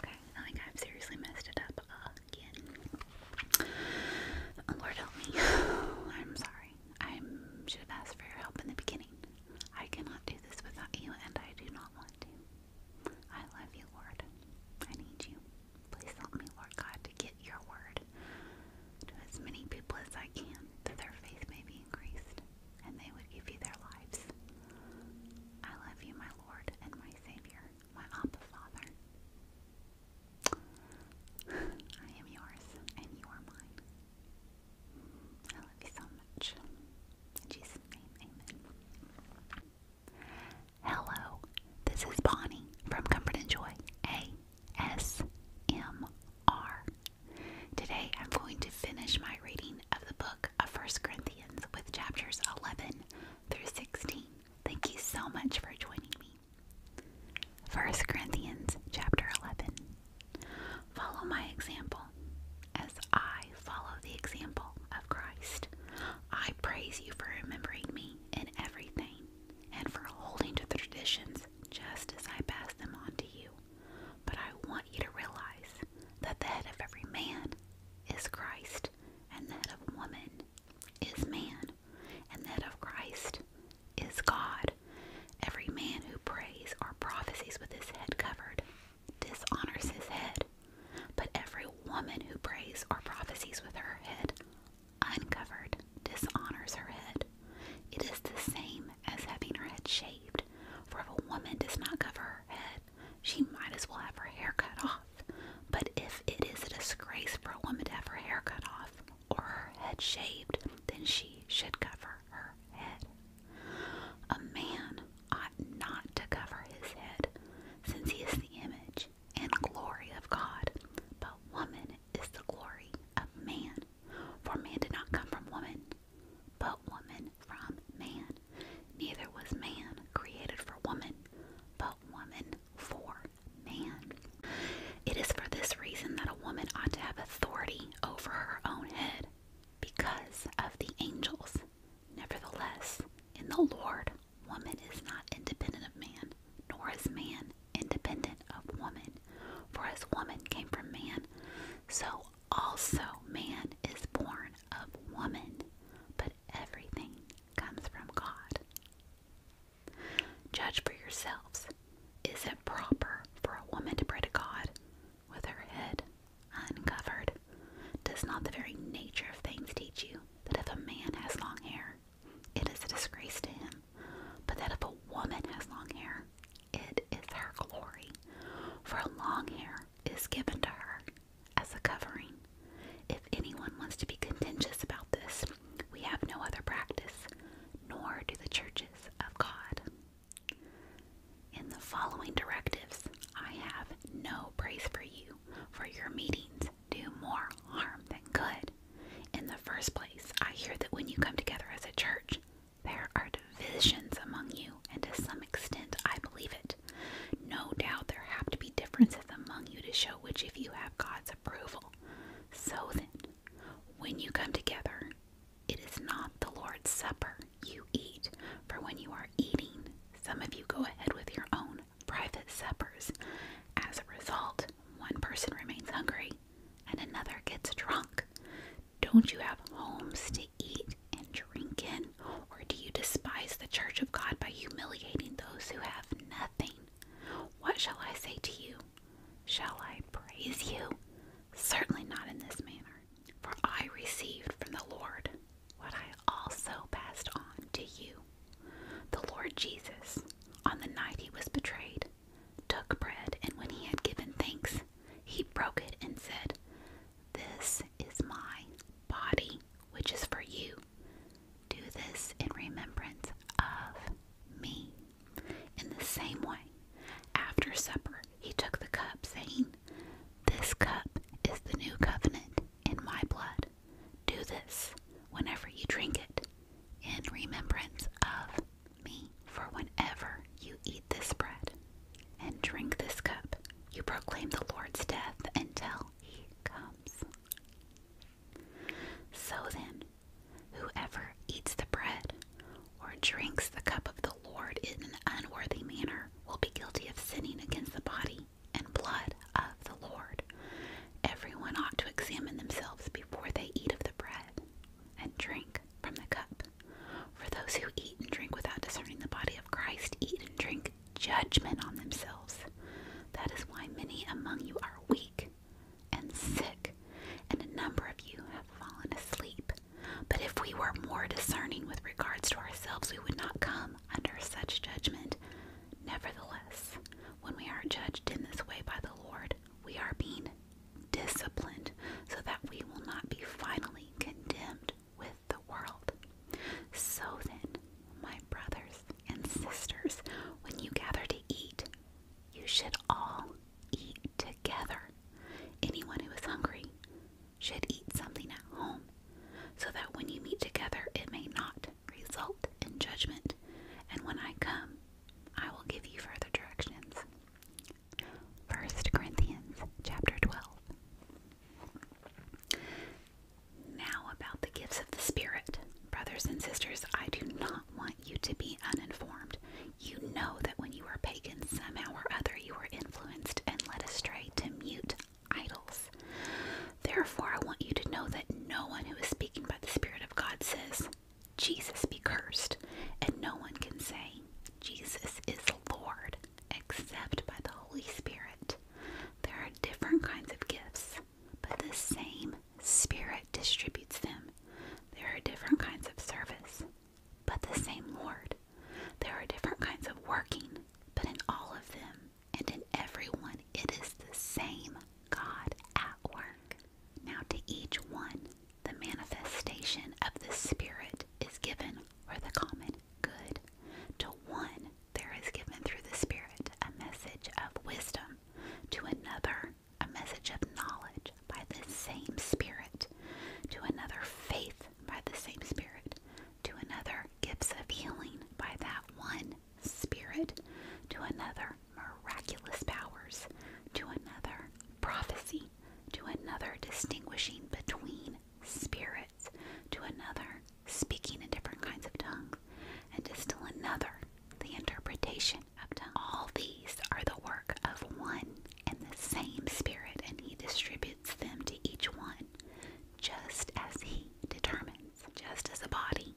Okay, I think I've seriously messed it up again. Oh, Lord help me. I'm sorry. I should have asked for your help in the beginning. I cannot do this without you, and I do not want to. I love you, Lord. I need you. Please help me, Lord God, to get your word to as many people as I can, that their faith may be increased, and they would give you their lives. I love you, my Lord and my Savior, my Abba Father. I am yours and you are mine. I love you so much. Jesus' name, amen. Hello, this is Bonnie from Comfort and Joy ASMR. Today I'm going to finish my reading of the book of 1 Corinthians with chapters 11 through 16. Thank you so much for joining me. 1 Corinthians chapter 11. Follow my example as I follow the example of Christ. I praise you for remembering me in everything and for holding to the traditions just as I pass them on to you. But I want you to realize that the head of every man is Christ, and that of woman is man, and that of Christ is God. Every man who prays or prophesies with his head covered dishonors his head, but every woman who prays or prophesies with her head uncovered dishonors her head. It is the same as having her head shaved, for if a woman does not cover her head, she might as well have her hair cut off. But if it is a disgrace for a woman to have her hair cut off or her head shaved, then she should cover her head. A man ought not to cover his head, since he is the image and glory of God, but woman is the glory of man. For man did not come from woman, but woman from man. Neither was man created for woman, but woman for man. It is for this reason that a woman ought to have authority over her own head because of the angels. Nevertheless, in the Lord, woman is not independent of man, nor is man independent of woman. For as woman came from man, so also man is born of woman, but everything comes from God. Judge for yourselves. Is it proper for a woman to pray to God with her head uncovered? Does not the very nature of things teach you that if a man has long hair, it is a disgrace to him, but that if a woman has long hair, it is her glory, for long hair is given to her as a covering. If anyone wants to be contentious about this, we have no other practice, nor do the churches of God. In the following directives, I have no praise for you, for your meetings do more harm than good. In the first place, I hear that when you come together as a church, there are divisions among you, and to some extent, I believe it. No doubt there have to be differences among you to show which of you have God's approval. So then, when you come together, it is not the Lord's Supper you eat, for when you are eating, some of you go ahead with your own private suppers. As a result, one person remains hungry and another gets drunk. Don't you have homes to eat and drinking? Or do you despise the church of God by humiliating those who have nothing? What shall I say to you? Shall I praise you? Certainly not in this manner. For I received from the Lord what I also passed on to you. The Lord Jesus, on the night he was betrayed, took bread, and when he had given thanks, he broke it and said, this is my body, which is for you. Do this in remembrance of me. In the same way, after supper, he took the cup, saying, This cup is the new covenant in my blood. Do this whenever you drink it in remembrance of me. For whenever you eat this bread and drink this cup, you proclaim the Lord's death until he comes. So then, whoever eats the bread or drinks the cup of the Lord in an unworthy manner will be guilty of sinning against the body and blood of the Lord. Everyone ought to examine themselves before they eat of the bread and drink from the cup. For those who eat and drink without discerning the body of Christ eat and drink judgment on themselves. That is why many among you are weak and sick, and a number of you have fallen asleep. But if we were more discerning with regards to ourselves, we would not come under such judgment. Nevertheless, when we are judged in this way by the Lord, we are being disciplined so that we will not be finally condemned with the world. So then, my brothers and sisters, when you gather to eat, you should all eat together. Anyone who is hungry should eat something at home, so that when you meet together, it may not result in judgment. And when I come, I will give you further directions. 1 Corinthians chapter 12. Now, about the gifts of the Spirit. Brothers and sisters, I do not want you to be uninformed. You know that when you were pagan, somehow or other you were influenced and led astray to mute idols. Therefore, I want you to know that no one who is speaking by the Spirit of God says, Jesus be cursed, and no one can say, Jesus is Lord except by the Holy Spirit. There are different kinds of gifts, but the same Spirit distributes them. There are different kinds of service, but the same Lord. There are different kinds of working, but in all of them and in everyone, it is the same God at work. Now, to each one, the manifestation of the Spirit is given or the common good. To one, there is given through the Spirit a message of wisdom, to another, a message of knowledge by the same Spirit, to another, faith by the same Spirit, to another, gifts of healing by that one Spirit, to another, miraculous powers, to another, prophecy, to another, distinguishing between. spirits to another, speaking in different kinds of tongues, and to still another, the interpretation of tongues. All these are the work of one and the same Spirit, and He distributes them to each one just as He determines, just as a body.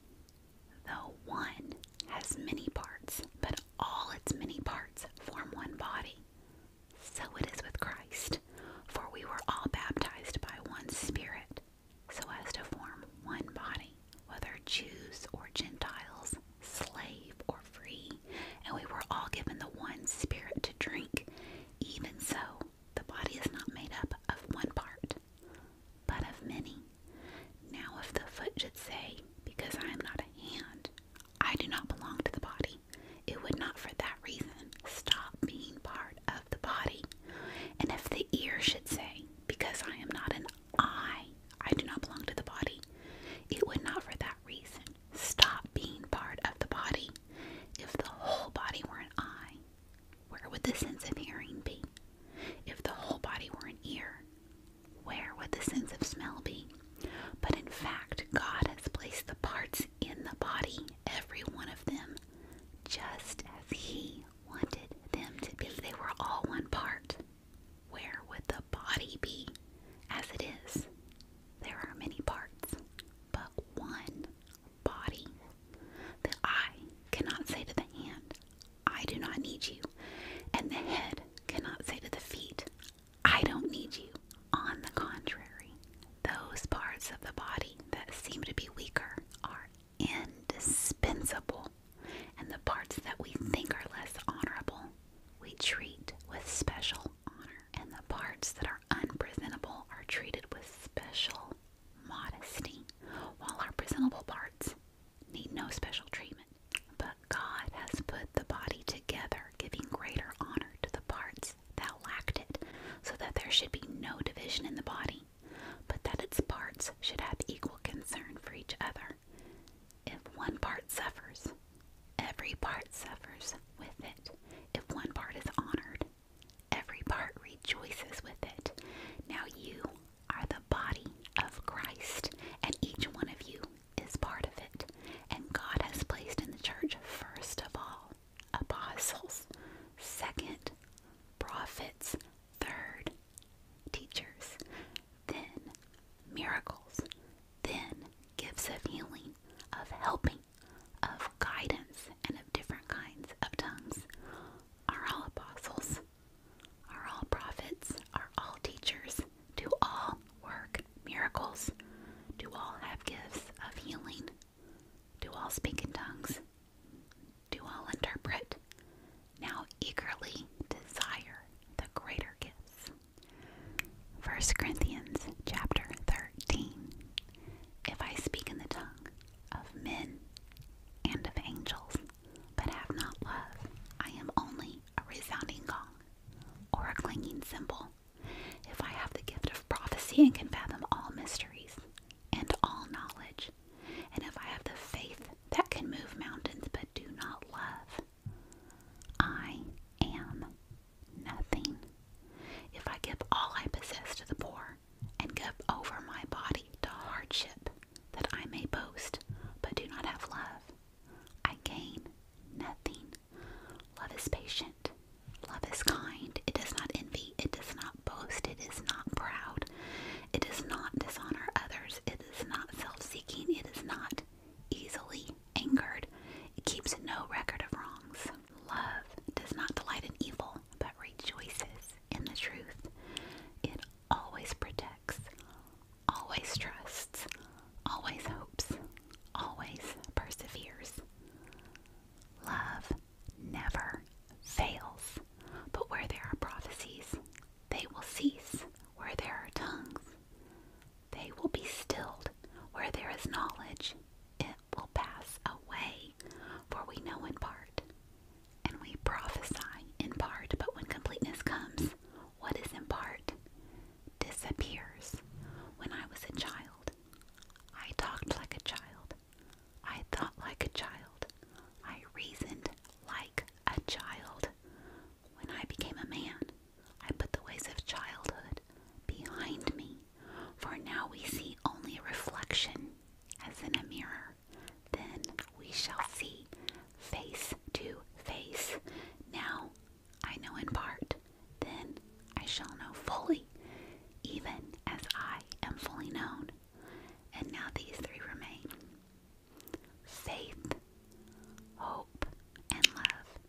Though one has many parts, but all its many parts form one body. So it is with Christ. For we were all baptized by one Spirit, so as to form one body, whether Jews or Gentiles, slave or free, and we were all given the one Spirit to drink. Even so, the body is not made up of one part, but of many. Now, if the foot should say, Because I am not a hand, I do not belong to the body, it would not for that reason stop being part of the body. And if the ear should say, Because I am not an eye, I do not belong to the body, it would not for that reason stop being part of the body. If the whole body were an eye, where would the sense of hearing be? If the whole body were an ear, where would the sense of smell be? But in fact, God has placed the parts in the body, every one of them, just as He wanted them to be. they were all one part, where would the body be? As it is, there are many parts, but one body. The eye cannot say to the hand, I do not need you. And the head cannot say to the feet, I don't need you. On the contrary, those parts of the body that seem to be weaker are indispensable, and the parts that we think are less honorable we treat with special honor, and the parts that are unpresentable are treated with special modesty, while our presentable parts need no special treatment. But God has put the body together, giving greater honor to the parts essence, lacked it, so that there should be no division in the body, but that its parts should have equal concern for each other. If one part suffers, every part suffers with it. If one part is honored, every part rejoices with it. Now you are the body of Christ, and each one of you is part of it. And God has placed in the church first of all apostles, second, prophets, third, teachers, then miracles, then gifts of healing, of helping, of guidance, and of different kinds of tongues are all apostles, are all prophets, are all teachers, do all work miracles, do all have gifts of healing, do all speak in tongues? Do all interpret? Now eagerly desire the greater gifts. 1 Corinthians chapter 13. If I speak in the tongue of men and of angels, but have not love, I am only a resounding gong or a clanging cymbal. If I have the gift of prophecy and can fathom all mysteries and all knowledge. And if I have the faith that can move mountains but do not love, I am nothing. If I give all I possess to the poor and give over my body to hardship that I may boast but do not have love, I gain nothing. Love is patient Love is kind. It does not envy. It does not boast. It is not proud. It does not dishonor others. It is not self seeking. It is not easily angered. It keeps no record of wrongs. Love does not delight in evil, but rejoices in the truth. It always protects, always trusts, always hopes, always perseveres. Love never fails, but where there are prophecies, they will cease. Where there are tongues, they will be stilled. Where there is knowledge, it will pass away. For we know in part, and we prophesy in part, but when completeness comes, what is in part disappears. When I was a child, I talked like a child. I thought like a child. I reasoned like a child. When I became a man, I put the ways of childhood behind me, for now we see only reflection as in a mirror. Then we shall see face to face. Now I know in part, then I shall know fully even as I am fully known. And now these three remain faith, hope, and love.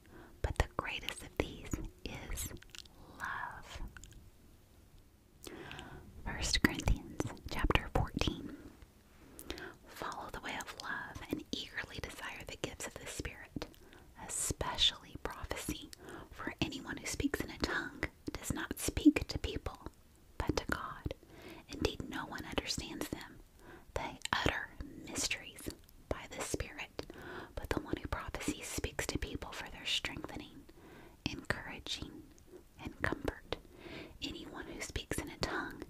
But the greatest of these is love. 1 Corinthians chapter 14. Follow the way of love and eagerly desire the gifts of the Spirit, especially prophecy, for anyone who speaks in a tongue does not speak to people, but to God. Indeed, no one understands them. They utter mysteries by the Spirit, but the one who prophesies speaks to people for their strengthening, encouraging, and comfort. Anyone who speaks in a tongue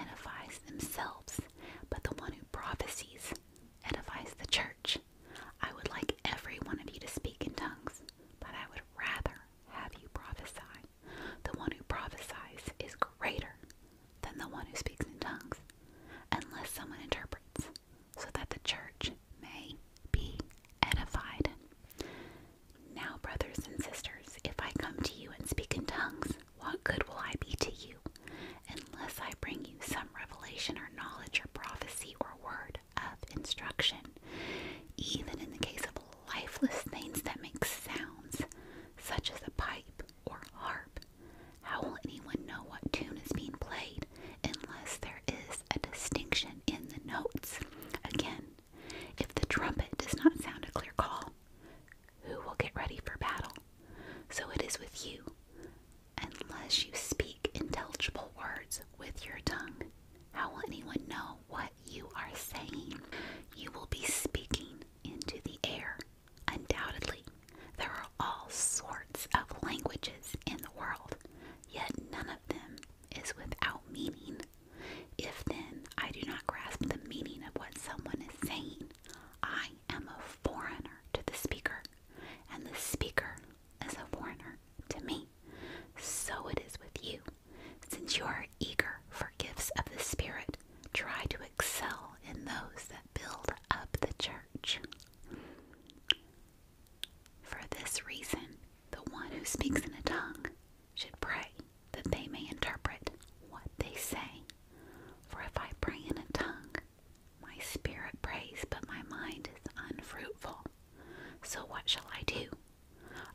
edifies themselves, but the one who prophesies edifies the church. I would like every one of you to speak in tongues, but I would rather have you prophesy. The one who prophesies is greater than the one who speaks in tongues, unless someone interprets, so that the church may be edified. Now, brothers and sisters, if I come to you and speak in tongues, what good will I be to you, unless I bring you some revelation or knowledge or prophecy or word of instruction. Even in the case of lifeless things that make sounds, such as a pipe or harp, how will anyone know what tune is being played unless there is a distinction in the notes? Again, if the trumpet does not sound a clear call, who will get ready for battle? So it is with you. Unless you speak intelligible words with your tongue, how will anyone know what you are saying? You will be speaking into the air, undoubtedly. There are all sorts of languages in the world, yet none of them is without meaning. If then I do not grasp the meaning of what someone is saying, I am a foreigner to the speaker, and the speaker as a foreigner to me, so it is with you. Since you are eager for gifts of the Spirit, try to excel in those that build up the church. For this reason, the one who speaks in a tongue should pray that they may interpret what they say. For if I pray in a tongue, my spirit prays, but my mind is unfruitful. So what shall I do?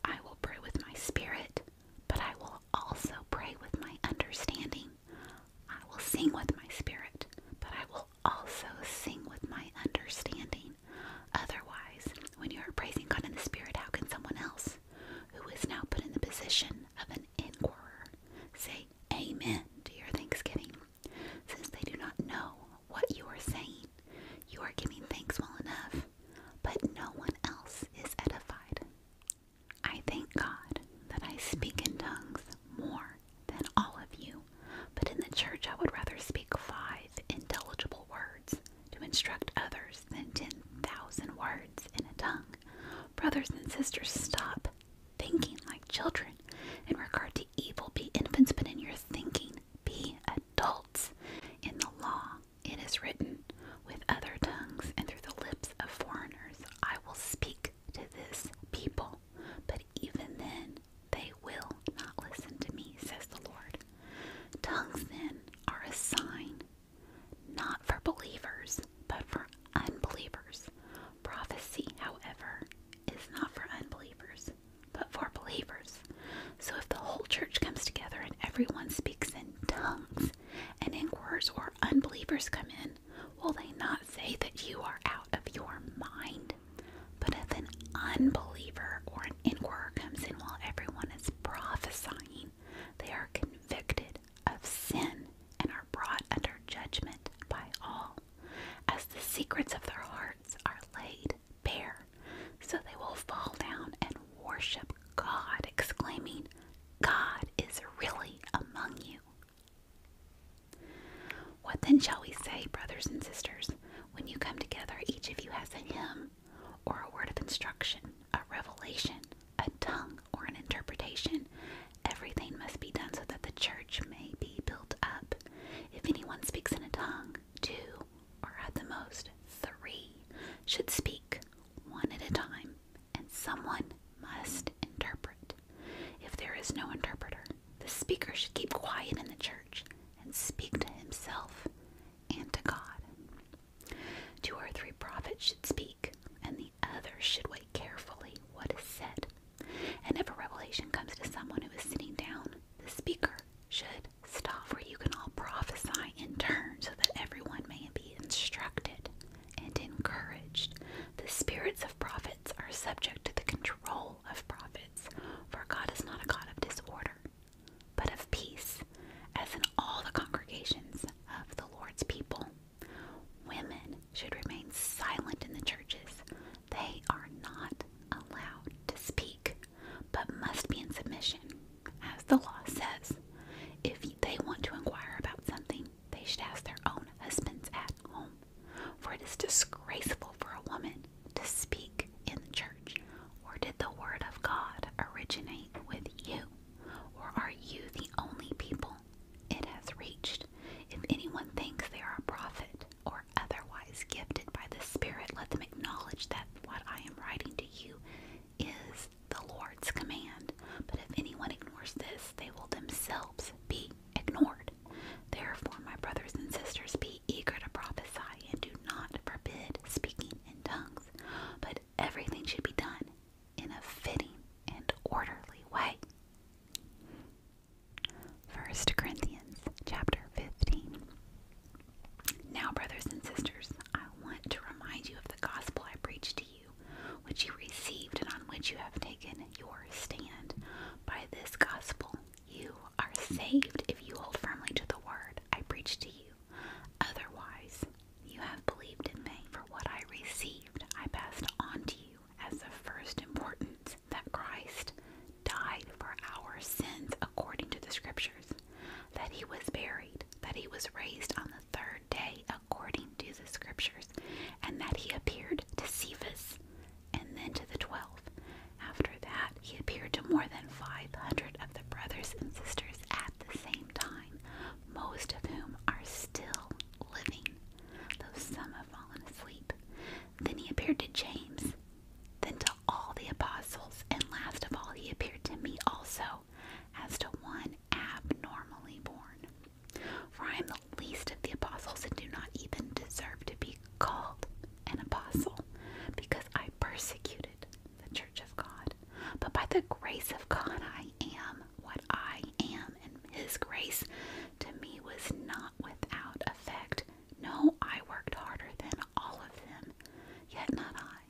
I will pray with my spirit, but I will also pray with my understanding. I will sing with my spirit, but I will also sing with my understanding. Otherwise, when you are praising God in the Spirit, how can someone else who is now put in the position of an inquirer say, Amen to your thanksgiving? Since they do not know what you are saying, you are giving thanks well enough, but no one else is edified. I thank God that I speak in tongues more than all of you, but in the church I would rather speak five intelligible words to instruct others than 10,000 words in a tongue. Brothers and sisters, stop thinking like children in regard to evil. Be infants, but in your thinking be adults. In the law it is written, with other tongues and through the lips of foreigners I will speak to this people, but even then they will not listen to me, says the Lord. Tongues then are a sign, not for believers, but for unbelievers. Prophecy, however, is not for unbelievers, but for believers. So if the whole church comes together and everyone speaks in tongues, and inquirers or unbelievers come in, will they not say that you are out of your mind? But if an unbeliever or an inquirer comes in while everyone is prophesying, they are convicted of sin and are brought under judgment by all, as the secrets of their hearts are laid Bear, so they will fall down and worship God, exclaiming, God is really among you. What then shall we say, brothers and sisters, when you come together, each of you has a hymn, or a word of instruction, a revelation, a tongue, or an interpretation? Everything must be done so that the church may be built up. If anyone speaks in a tongue, two, or at the most three, should speak one at a time, and someone must interpret. If there is no interpreter, the speaker should keep quiet in the church and speak to himself and to God. Two or three prophets should speak, and the others should wait carefully what is said. And if a revelation comes to someone who is sitting down, the speaker should stop where you can all prophesy in turn so that everyone may be instructed and encouraged. The spirits of prophets are subject to the control of prophets, for God is not a God of disorder, but of peace, as in all the congregations of the Lord's people. Women should remain silent in the churches. They are not allowed to speak but must be in submission, as the law says. If they want to inquire about something, they should ask their own husbands at home, for it is disgraceful for a woman to speak in the church. Or did the word of God originate with you? Or are you the only people it has reached? If anyone thinks they are a prophet, or otherwise gifted by the Spirit, let them acknowledge that what I am writing to you is the Lord's command. But if anyone ignores this, they will themselves be ignored. Therefore, my brothers and sisters, be eager to prophesy and do not forbid speaking in tongues, but everything should be done in a fitting and orderly way. 1 Corinthians chapter 15. Now, brothers and sisters, I want to remind you of the gospel I preached to you, which you received and on which you have taken your stand. By this gospel, you are saved if you hold firmly to the word I preached to you. Otherwise, you have believed in me. For what I received, I passed on to you as the first importance that Christ died for our sins according to the scriptures, that he was buried, that he was raised on the third day according to the scriptures, and that he appeared to Cephas and then to the twelve. After that, he appeared to more than 500 of the brothers and sisters at the same time, most of whom are still living, though some have fallen asleep. Then he appeared to James, then to all the apostles, and last of all, he appeared to me also, as to one abnormally born. For I am the least of the apostles and do not even deserve to be called an apostle, because I persecuted the church of God. But by the grace of God, I am what I am, and his grace to me was not without effect. No, I worked harder than all of them, yet not I,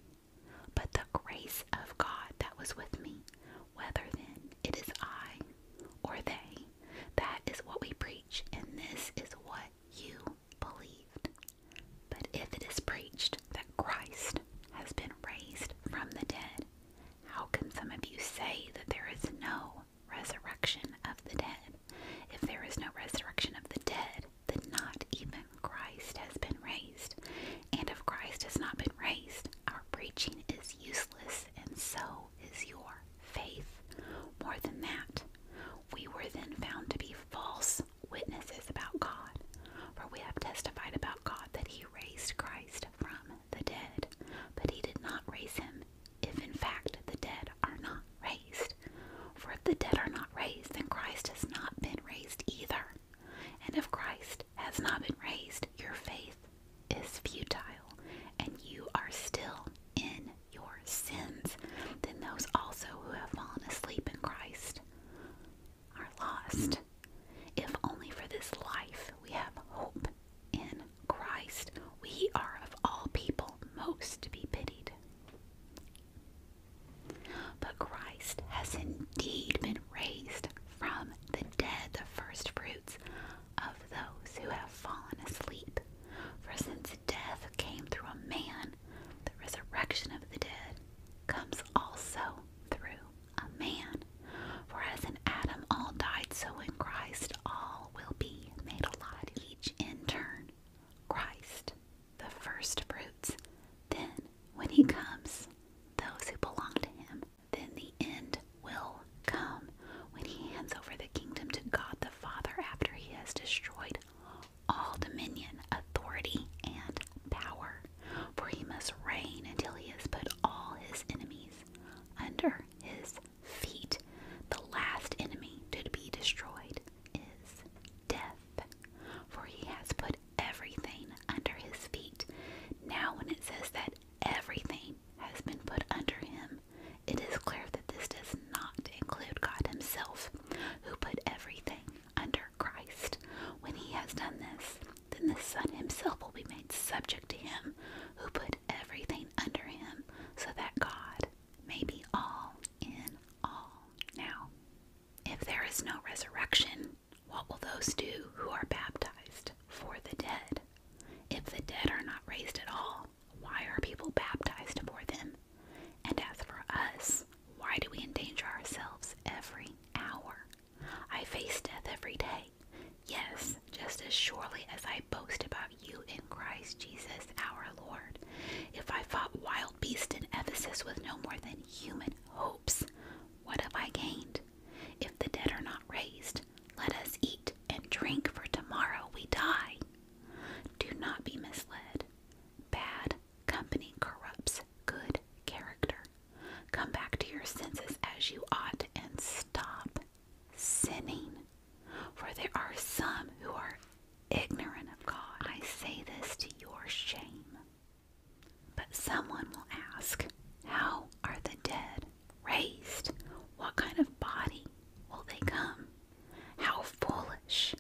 but the grace of God that was with me. Whether then it is I or they, that is what we preach, and this is what you believed. But if it is preached that Christ has been raised from the dead, how can some of you say that there is no resurrection of the dead? If there is no resurrection of the dead, then not even Christ has been raised. And if Christ has not been raised, our preaching is useless, and so is your faith. More than that, we were then found to be false witnesses about God, for we have testified about God that He raised Christ from the dead, but He did not raise Him if in fact the dead are not raised. For if the dead are not raised, then Christ has not been raised either. And if Christ has not been raised, your faith is futile, and you are still in your sins. Then those also who have fallen asleep in Christ are lost. If only for this life we have hope in Christ, we are of all people most to be pitied. But Christ has indeed been raised from the dead, the first fruits of those who have fallen asleep. For since death came through a man, the resurrection of the dead comes also through a man. For as in Adam all died, so in Christ all will be made alive, each in turn. Christ, the first fruits. Then, when he comes, those who belong to him, then the end will come when he hands over the kingdom to God the Father after he has destroyed all dominion, authority, and power. For he must reign until he has put all his enemies under his feet. The last enemy to be destroyed is death, for he has put everything under his feet. Now, when it says that everything has been put under him, it is clear that this does not include God Himself, who put everything under Christ. When He has done this, then the Son Himself will be made subject to Him, who put everything under Him, so that God maybe all in all. Now, if there is no resurrection, what will those do who are baptized for the dead? If the dead are not raised at all, why are people baptized for them? And as for us, why do we endanger ourselves every hour? I face death every day. Yes, just as surely as I boast about you in Christ Jesus our Lord. If I fought wild beasts in Ephesus with no more than human hopes, what have I gained? If the dead are not raised, let us eat and drink, for tomorrow we die. Do not be misled. Bad company corrupts good character. Come back to your senses as you ought and stop sinning. For there are some who are ignorant of God. I say this to your shame. But someone will ask, How are the dead raised? What kind of body will they come? How foolish!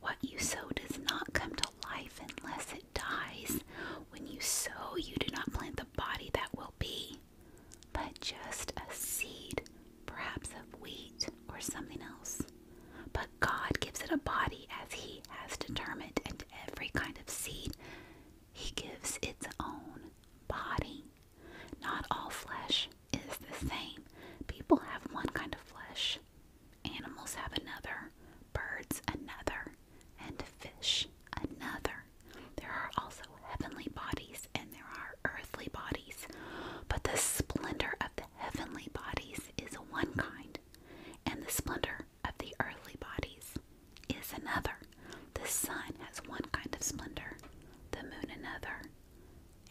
What you sow does not come to life unless it dies. When you sow, you do not plant the body that will be, but just a seed perhaps of wheat or something else. But God gives it a body as He has determined, and every kind of seed He gives its own body. Not all flesh is the same. People have one kind of flesh, animals have another, birds another, and fish another. There are also heavenly bodies, and there are earthly bodies, but the splendor of the heavenly bodies is one kind, and the splendor of the earthly bodies is another. The sun has one kind of splendor, the moon another,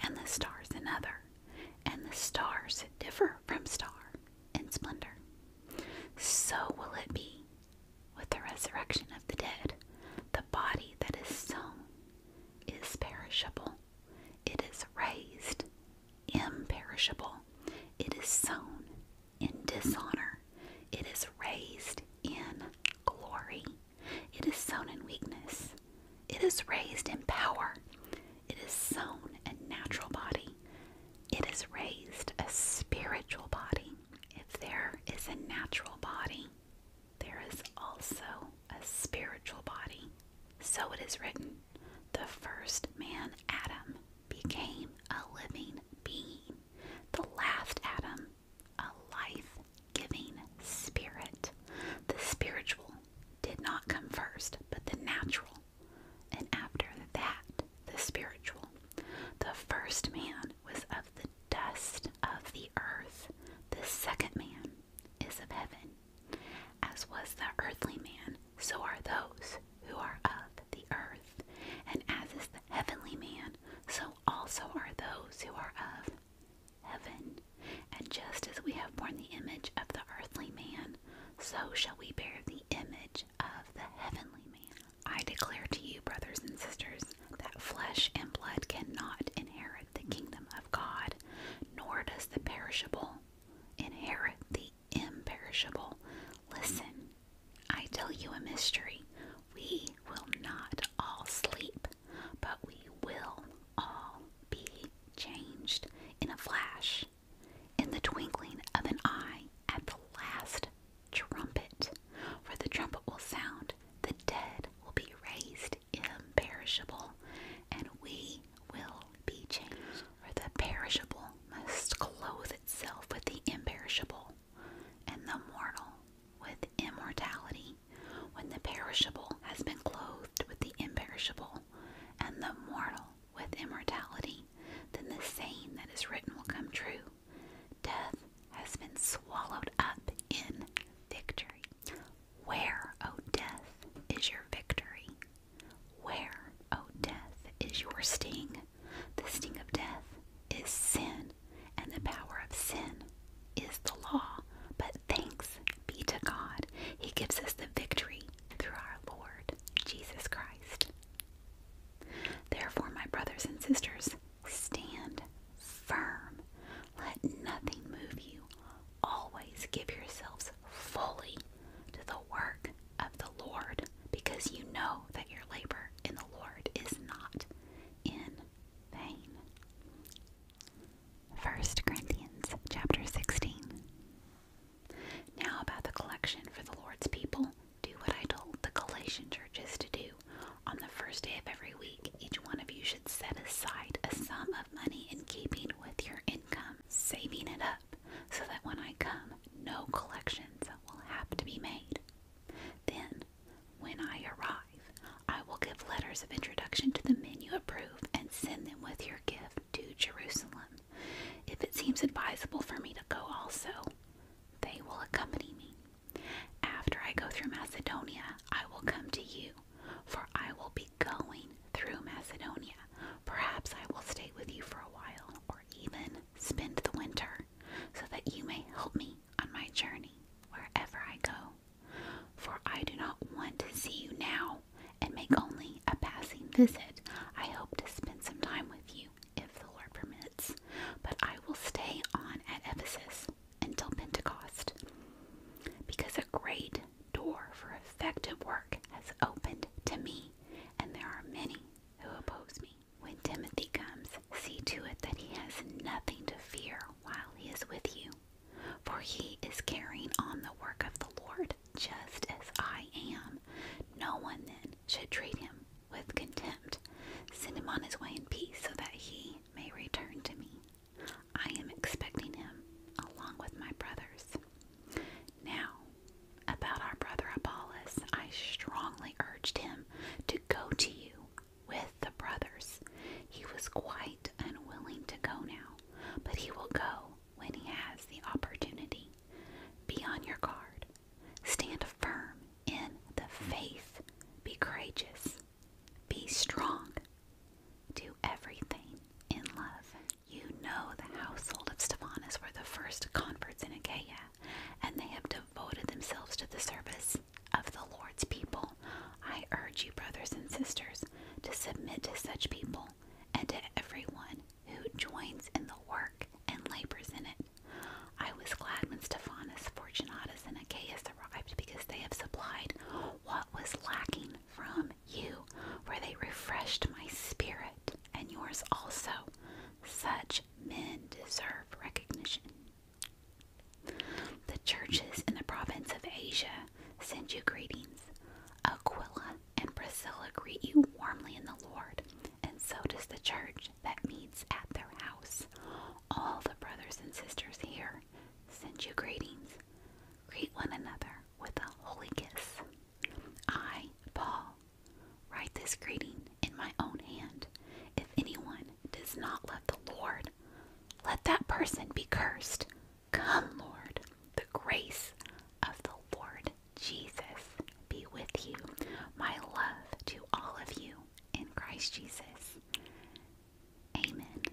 and the stars another, and the stars differ from star in splendor. So will it be with the resurrection of the dead. The body that is sown is perishable, it is raised, imperishable. It is sown in dishonor. It is raised in glory. It is sown in weakness. It is raised in power. It is sown a natural body. It is raised a spiritual body. If there is a natural body, there is also a spiritual body. So it is written the first man, Adam, became a living being, the last Adam, a life giving spirit. The spiritual did not come first, but the natural. And after that, the spiritual. The first man was of the dust of the earth, the second man is of heaven. As was the earthly man, so are those who are of the earth. And as is the heavenly man, so also are those who are of heaven. And just as we have borne the image of the earthly man, so shall we bear the image of the heavenly man. I declare to you, brothers and sisters, that flesh and blood cannot inherit the kingdom of God, nor does the perishable inherit the imperishable. Listen, I tell you a mystery. We will not all sleep, but we will all be changed in a flash, in the twinkling of an eye, at the last trumpet. For the trumpet will sound, the dead will be raised imperishable, and we will be changed. For the perishable must clothe itself with the imperishable, and the mortal with immortality. When the perishable has been clothed with the imperishable, and the mortal with immortality, then the saying that is written will come true Death has been swallowed up in victory. Where, O death, is your victory? Where, O death, is your sting? The sting of death is sin, and the power of sin is the law. But thanks be to God, He gives us the victory through our Lord Jesus Christ. Therefore, my brothers and sisters, stand firm, let nothing move you. Always give yourselves fully to the work of the Lord, because you know that your labor in the Lord is not in vain. 1 Corinthians chapter 16. Now about the collection for the Lord's people, do what I told the Galatian churches to do. On the first day of every week, each one of you should set aside a sum of money in keeping with your income, saving it up so that when I come, no collections will have to be made. Then, when I arrive, I will give letters of introduction to the men you approve and send them with your gift to Jerusalem. If it seems advisable for me to go also, they will accompany me. After I go through Macedonia, I will come to you, for I will be going through Macedonia. Perhaps I will stay with you for a while, or even spend the winter, so that you may help me on my journey wherever I go. For I do not want to see you now and make only a passing visit. I hope to spend some time with you if the Lord permits, but I will stay on at Ephesus until Pentecost because a great door for effective work has opened to me, and there are many who oppose me. When Timothy comes, see to it that he has nothing to fear while he is with you, for he is carrying on the work of the Lord just as I am. No one then should treat him with contempt. Send him on his way in peace so that he may return to me. I am expecting him along with my brothers. Now, about our brother Apollos, I strongly urged him to go to you with the brothers. He was quite unwilling to go now, but he will go when he has the opportunity. Be on your guard. Stand firm in the faith. Be courageous. Be strong. Do everything in love. You know the household of Stephanus were the first converts in Achaia, and they have devoted themselves to the service of the Lord's people. I urge you, brothers and sisters, to submit to such people and to everyone who joins in the work and labors in it. I was glad when Stephanus, Fortunatus, and Achaeus arrived because they have supplied what was lacking from you, where they refreshed my spirit and yours also. Such men deserve recognition. The churches in the province of Asia send you greetings. Aquila and Priscilla greet you warmly in the Lord, and so does the church that meets at their house. All the brothers and sisters here send you greetings. Greet one another with a holy kiss. I, Paul, write this greeting in my own hand. If anyone does not love the Lord, let that person be cursed. Come, Lord, the grace of the Lord Jesus be with you. My love to all of you in Christ Jesus. Amen.